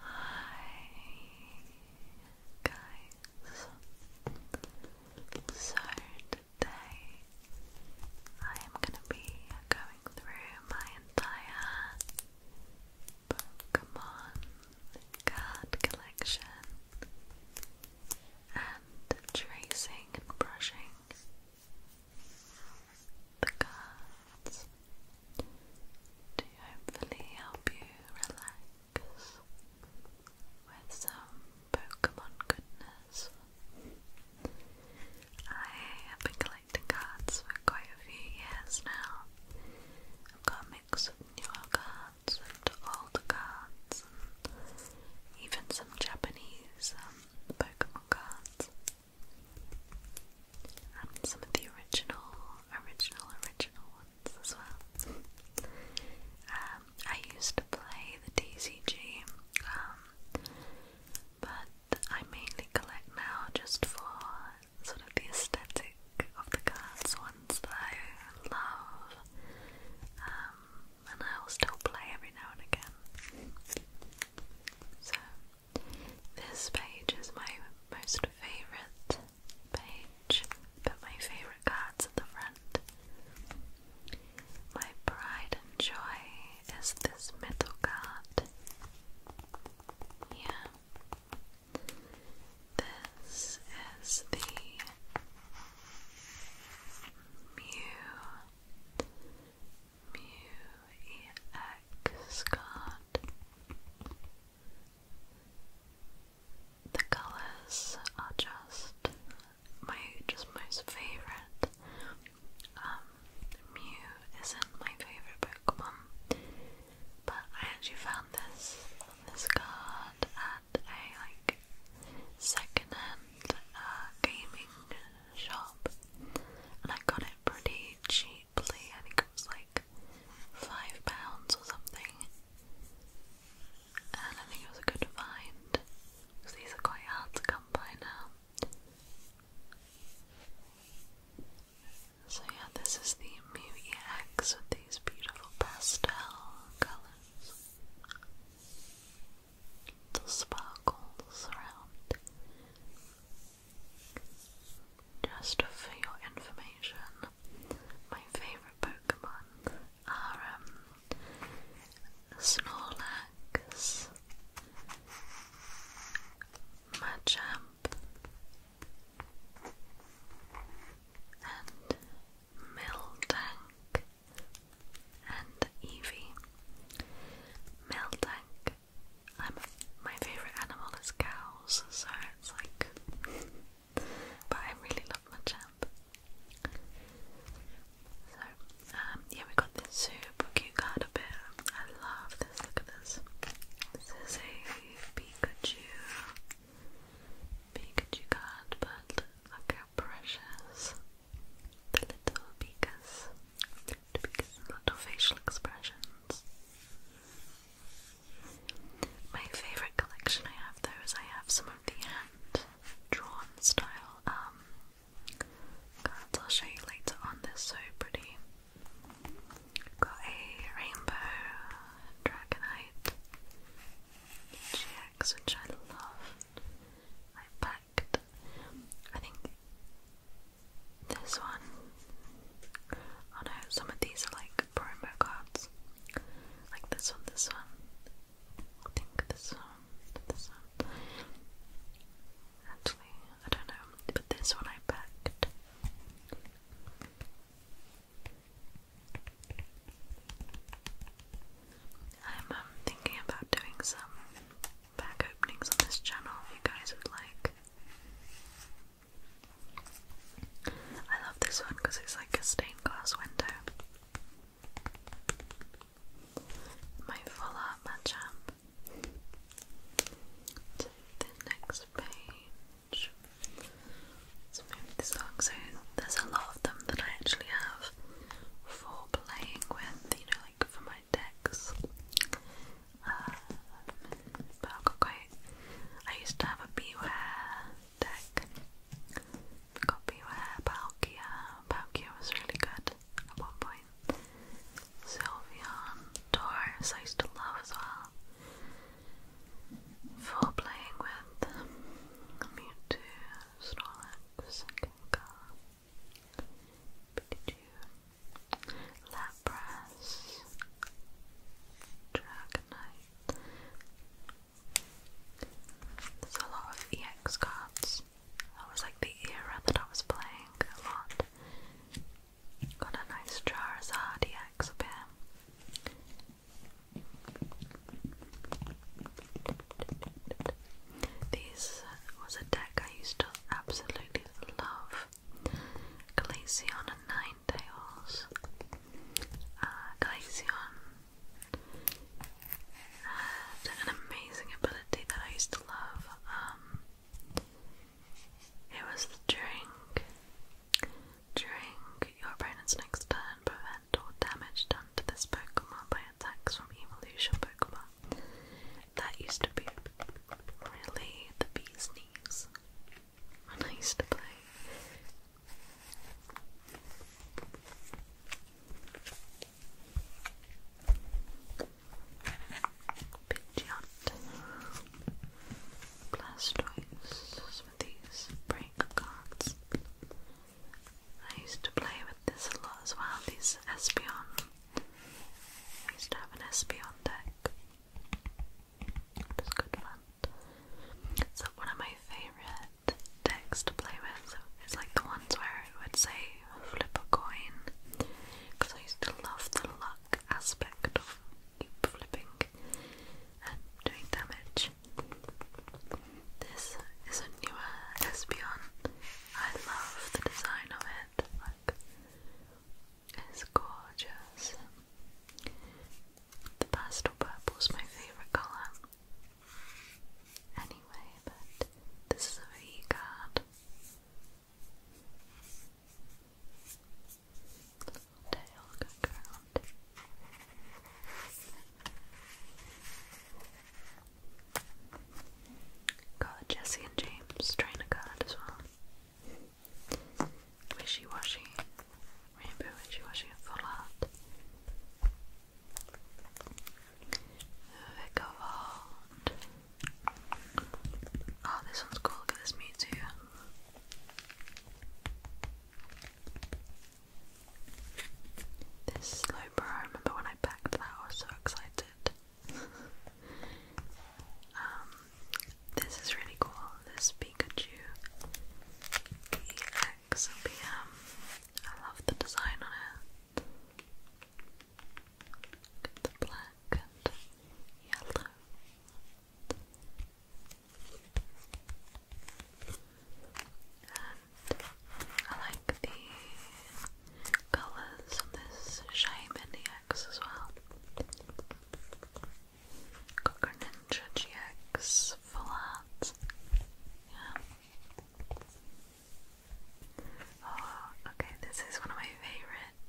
Hi guys. So today I am going to be going through my entire card collection and tracing and brushing the cards to hopefully help you relax with some Pokemon goodness. I have been collecting cards for quite a few years now. I've got a mix of newer cards and older cards, even some Japanese um, Pokemon cards. Um, some of the original, original, original ones as well. Um, I used to play the DCG, um, but I mainly collect now just for sort of the aesthetic of the cards, ones that I love, and I'll still play every now and again. So this page is my most favorite page, but my favorite cards at the front. My pride and joy is this middle card. Yeah. This is the Mew Mew EX card. The colours are just my just most favourite. Um, isn't my favourite Pokemon, but I actually found this this card at a like 2nd uh, gaming shop, and I got it pretty cheap. I think it was like five pounds or something. And I think it was a good find. Because these are quite hard to come by now. So yeah, this is the Mew with these beautiful pastel colours. Little sparkles around. Just for your information, my favourite Pokemon are um, Snorlax, Machamp, and Miltank and Eevee. Miltank I'm my favourite animal is cows, so it's like but I really love my champ. So, um, yeah, we got this super cute card up here. I love this, look at this. This is a Pikachu Pikachu card, but look how precious. The little Pikas. The Pikas little facial expressions. My favourite collection I have though is I have some of the hand drawn style um cards I'll show you later on, they're so pretty. Got a rainbow dragonite GX which I love. I packed I think this one Oh no, some of these are like promo cards. Like this one, this one. I think this one, this one. Actually, I don't know, but this one I packed. I'm um, thinking about doing some pack openings on this channel if you guys would like. I love this one because it's like a stained glass window. My full art match to the next page. Let's move this along. So there's a lot of them that I actually have for playing with, you know, like for my decks but I've got quite. I used to have a Beware deck. got Beware, Palkia. Palkia was really good at one point. Sylveon, Taurus, I used to love as well. For playing with Mewtwo, Snorlax, Gengar, Pikachu, Lapras press Dragonite. There's a lot of EX cards. That was like the era that I was playing a lot. Got a nice Charizard EX up here. was a deck I used to absolutely love. Glaceon and Ninetales. Uh, Glaceon had uh, an amazing ability that I used to love. Um, it was during, during your opponent's next turn, prevent all damage done to this Pokemon by attacks from evolution Pokemon. That used to be really the bee's knees. I used to play. Pidgeot. Blastoise. Some of these break cards. I used to play with this a lot as well, these Espeon. I used to have an Espeon deck. It's good fun. So one of my favorite decks to play with is like the ones where it would say flip a coin because I used to love the luck aspect of flipping and doing damage. This is a newer Espeon. I love the design of it. it's gorgeous. The pastel purple is my favourite colour. Anyway, but this is a V card. Little tail going Got Jesse and James trainer card as well. Wishy-washy. Rainbow wishy-washy and full art. Vic of Art. Oh, this one's cool. Look this me too. This slow I remember when I packed that, I was so excited. Um, this is really cool. This Pikachu EXPM. I love the design on it. the black and yellow. And I like the colours on this Shine as well. Cocker Ninja GX flat. Yeah. Oh, okay, this is one of my favourite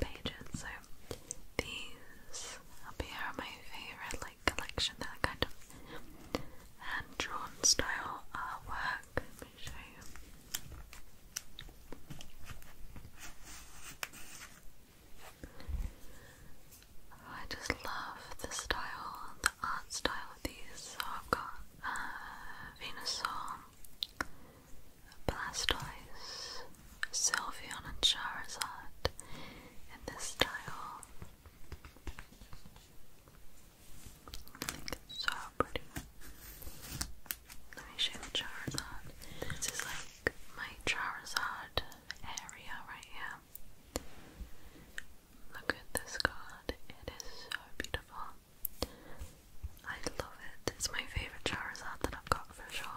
pages. So these up are my favourite like collection. They're kind of hand drawn style artwork. Let me show you. Oh, I just love the style, the art style of these. So I've got uh, Venusaur, Blastoise, Sylveon, and Charizard in this style. I think it's so pretty. Let me show you Charizard. This is like my Charizard area right here. Look at this card, it is so beautiful. I love it, it's my favourite Charizard that I've got for sure.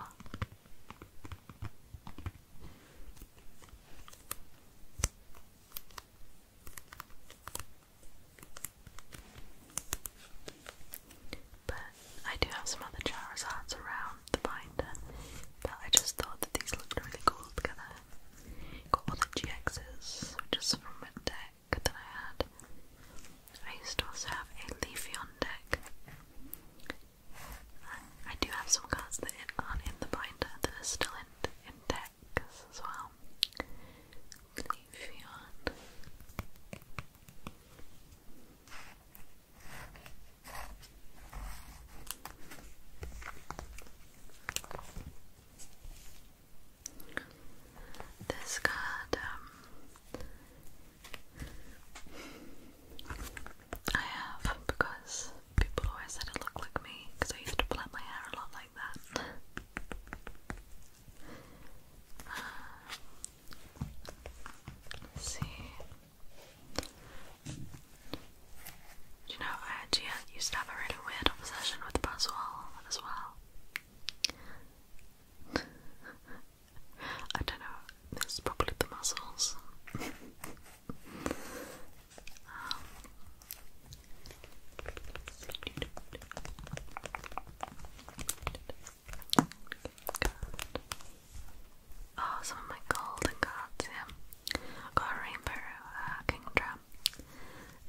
But I do have some other Charizards around the binder, but I just thought that these looked really cool together. Got the GXs, which is from a deck that I had. I used to also have a Leafeon deck. I do have some cards that are in the binder that are still in, in decks as well. Leafeon. This card, um, I have because people always said it looked like me because I used to plait my hair a lot like that. Um, see you know, I uh, used to have a really weird obsession with Buzzwell as well. I don't know, this probably the muscles. Um. Oh, some of my golden cards, yeah. got a rainbow uh, kingdra,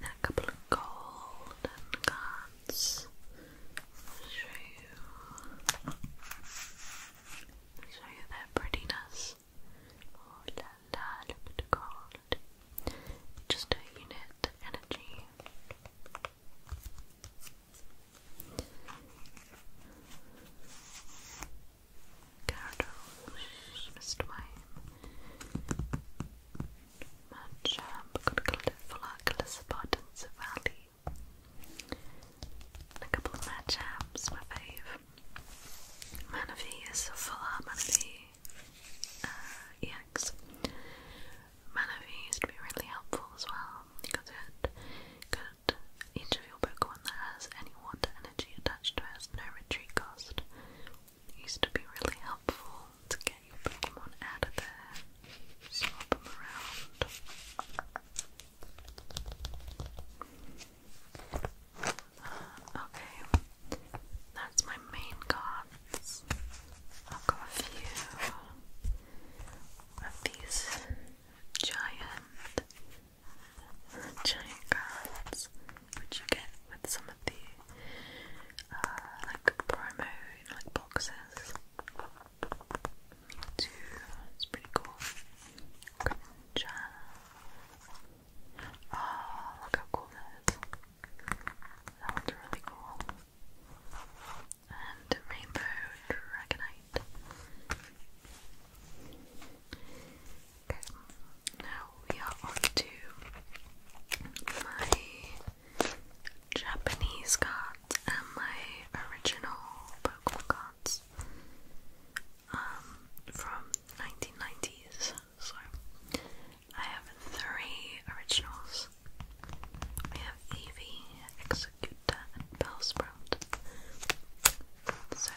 and a couple of golden cards. show you. show you their prettiness. Oh la la, look at Just a unit energy. Gyarados, Mr. Mime, got a Glypholac, Lissabot, and Savali. A couple of Machamps, my fave. Manaphy is a full art Manaphy uh, used to be really helpful as well. You it, that. Each of your Pokemon that has any water energy attached to it has no retreat cost. It used to be really helpful to get your Pokemon out of there, swap them around. Uh, okay. That's my main cards. I've got a few of these giant, giant cards, which you get with some of the uh, like promo like boxes. Too, it's pretty cool. Grinja. Oh, look how cool that is. That one's really cool and Rainbow Dragonite. Okay, now we are on my Japanese cards and my original Pokemon cards um, from 1990s. So I have three originals. We have Eevee, Executor, and Bellsprout. So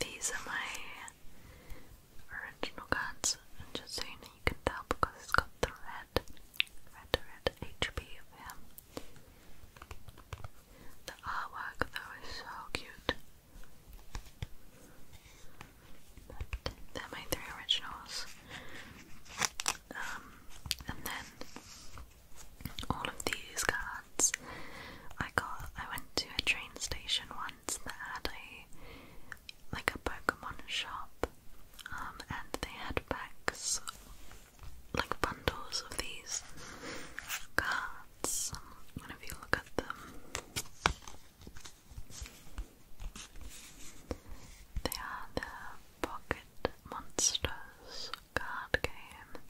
these are my original cards, just so you know, you can tell because it's got the red, red, red HP of him. The artwork though is so cute. But my three originals. Um, and then all of these cards I got. I went to a train station once that had a like a Pokemon shop, um, and they had packs like bundles of these cards. And if you look at them, they are the Pocket Monsters card game.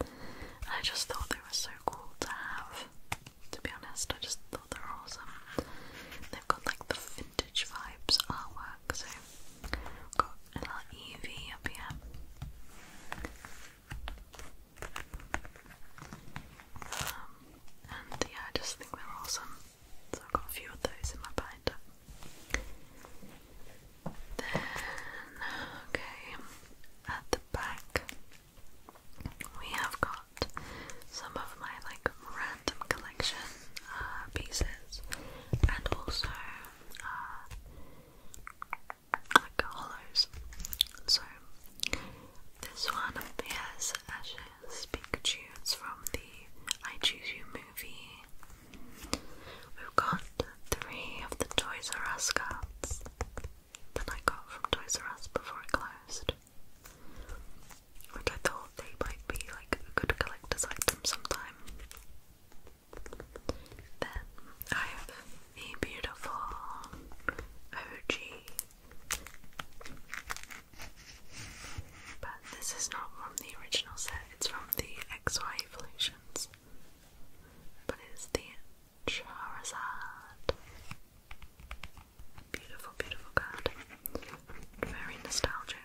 I just thought they were so cool to have. To be honest, I just thought they were awesome. They've got like the vintage vibes artwork, so got little Eevee up here. Um, and yeah, I just think they're awesome. So I've got a few of those in my binder. Then, okay, at the back, we have got some of my like random collection uh, pieces and also uh, like hollows. So, this one up here is actually Pikachu, from the I Choose You movie. We've got three of the Toys R Us cards that I got from Toys R Us before it closed. Which I thought they might be like a good collector's item sometime. Then I have the beautiful OG. But this is not from the original set, it's from the XY Evolutions. But it's the Charizard. Beautiful, beautiful card. Very nostalgic.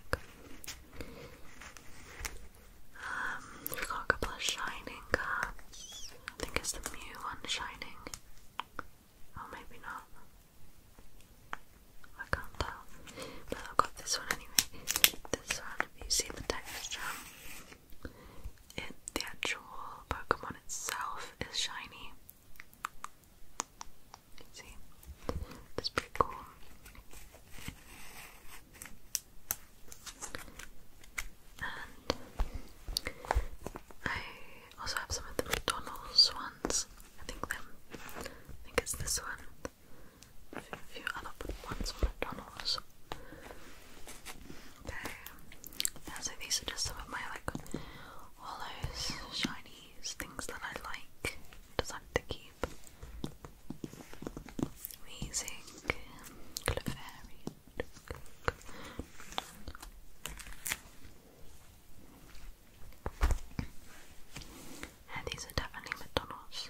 Um, we've got a couple of shining cards. I think it's the Mew one shining. Or oh, maybe not. I can't tell. But I've got this one anyway. This one, you see the texture. Um, the actual Pokemon itself is shiny. See, that's pretty cool. And I also have some of the McDonald's ones. I think them. I think it's this one a few other ones from McDonald's. Okay, so these are just some of my like hollows, shinies, things that I like, decided to keep. Wheezing, Clefairy, and these are definitely McDonald's.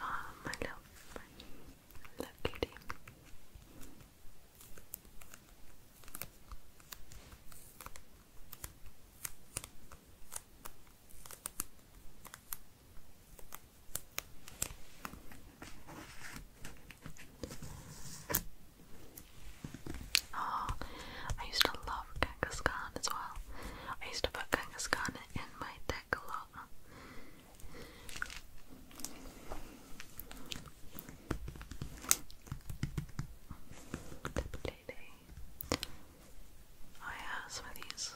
Oh, my love, my love kitty. Oh, I used to love Kangaskhan as well. I used to put Kangaskhan in my deck a lot. Lady. Oh yeah, some of these.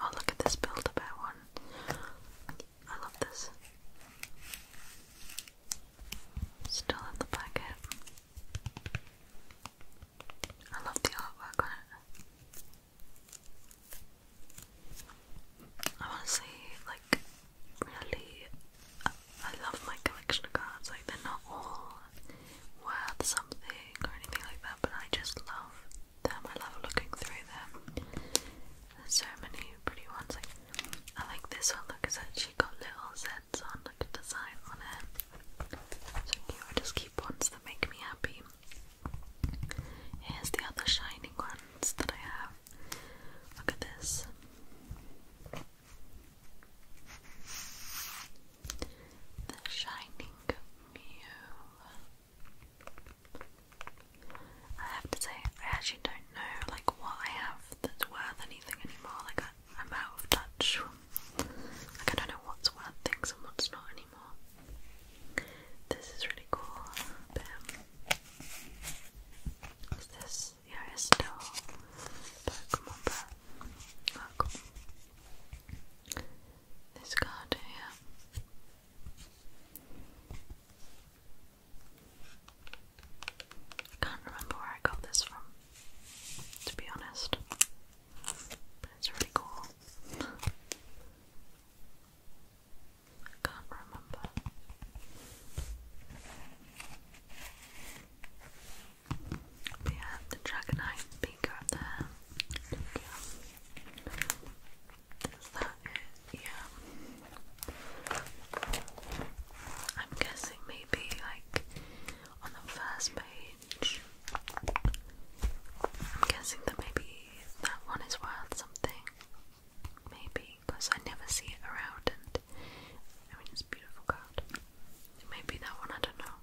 Oh look at this build a bear one. I love this. Still in the packet. I love the artwork on it. I want to see like, really, I, love my collection of cards. Like, they're not all worth something or anything like that, but I just love them. I love looking through them. There's so many pretty ones. Like, I like this one because it's actually got little Z prints on, like design on it. So I just keep ones that make me happy. Here's the other shining ones that I have. Look at this. The Shining Mew. I have to say, I actually don't know like what I have that's worth anything anymore. Like I, I'm out of touch. Like I don't know what's worth things and what's not anymore. This is really cool. Is this? Yeah, it's still Pokemon, but oh, This card here can't remember where I got this from, to be honest. it's really cool. can't remember. We have the Dragonite beaker up there. Is Yeah. I'm guessing maybe like on the first page. I'm guessing that maybe that one is worth something. Maybe, because I never see it around and I mean it's a beautiful card. Maybe that one, I don't know.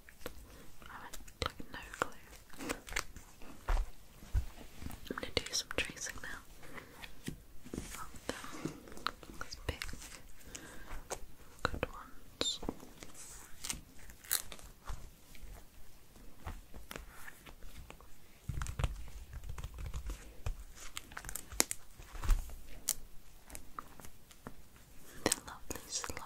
I have like no clue. I'm gonna do some tracing now. Oh, these big, good ones. The lovely slow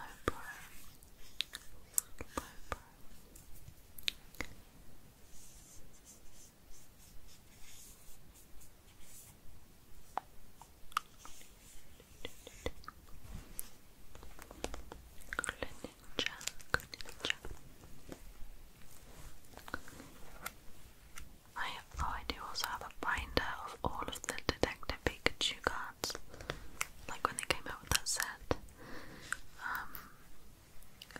Good ninja, good ninja. I have oh, I do also have a binder of all of the Detective Pikachu cards, like when they came out with that set. Um,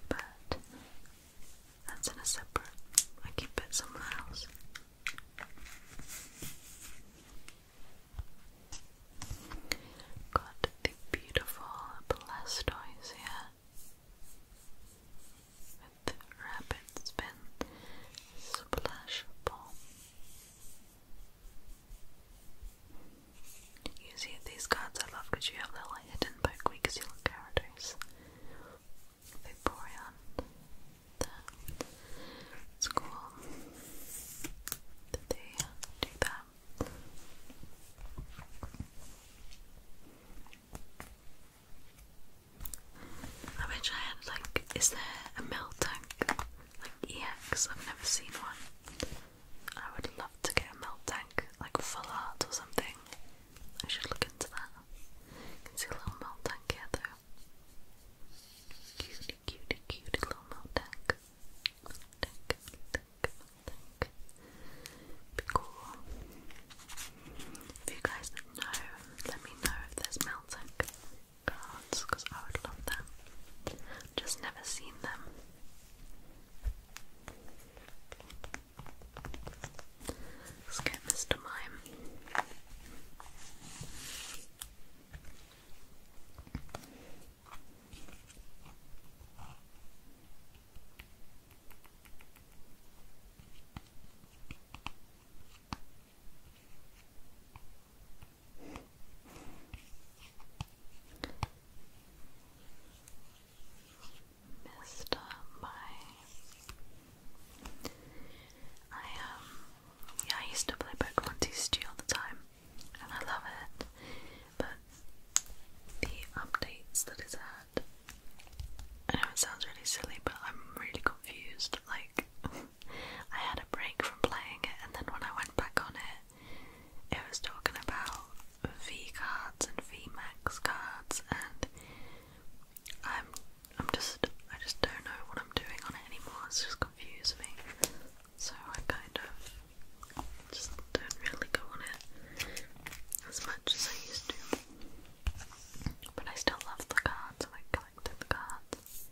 but that's in a separate. I keep it somewhere else. Got the beautiful Blastoise with rapid spin splash ball. You see these cards I love you have little hidden Pokeweak Seal characters. Vaporeon, that school that they do that. I wish I had like, is there a melt tank? Like EX, I've never seen one. I would love to get a melt tank, like full art or something. I should look into that. You a little melt tank here Cutie, cutie, cutie little Moldek. Moldek, Moldek, Moldek. Be cool. If you guys know, let me know if there's Meltek cards, because I would love them. Just never seen them. Let's get Mr. Mime. Mr. Mime. I um yeah, I used to play Pokemon TCG all the time and I love it. But the updates that it's had I know it sounds really silly, but I'm really confused. Like I had a break from playing it and then when I went back on it it was talking about V cards and VMAX cards and I'm I'm just I just don't know what I'm doing on it anymore. It's just confused me. So I kind of just don't really go on it as much as I used to. But I still love the cards. I collected the cards.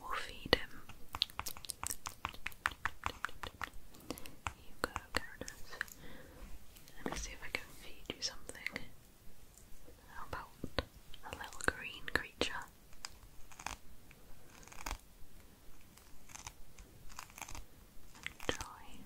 We'll feed him you go, Curtis. Let me see if I can feed you something. How about a little green creature? Enjoy.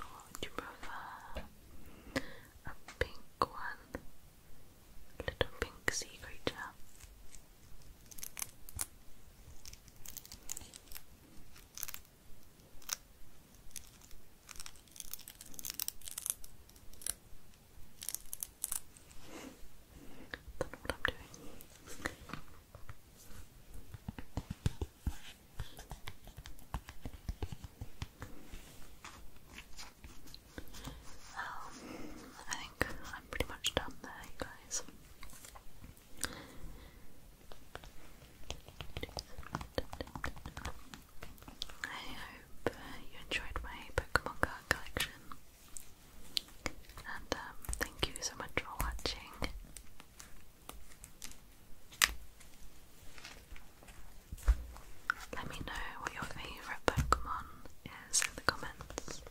Or would you prefer a pink one? little pink sea creature do i think I'm pretty much done there, you guys. I hope uh, you enjoyed my Pokemon card collection. And um, thank you so much for watching. Let me know what your favourite Pokemon is in the comments.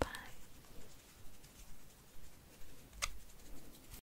Bye.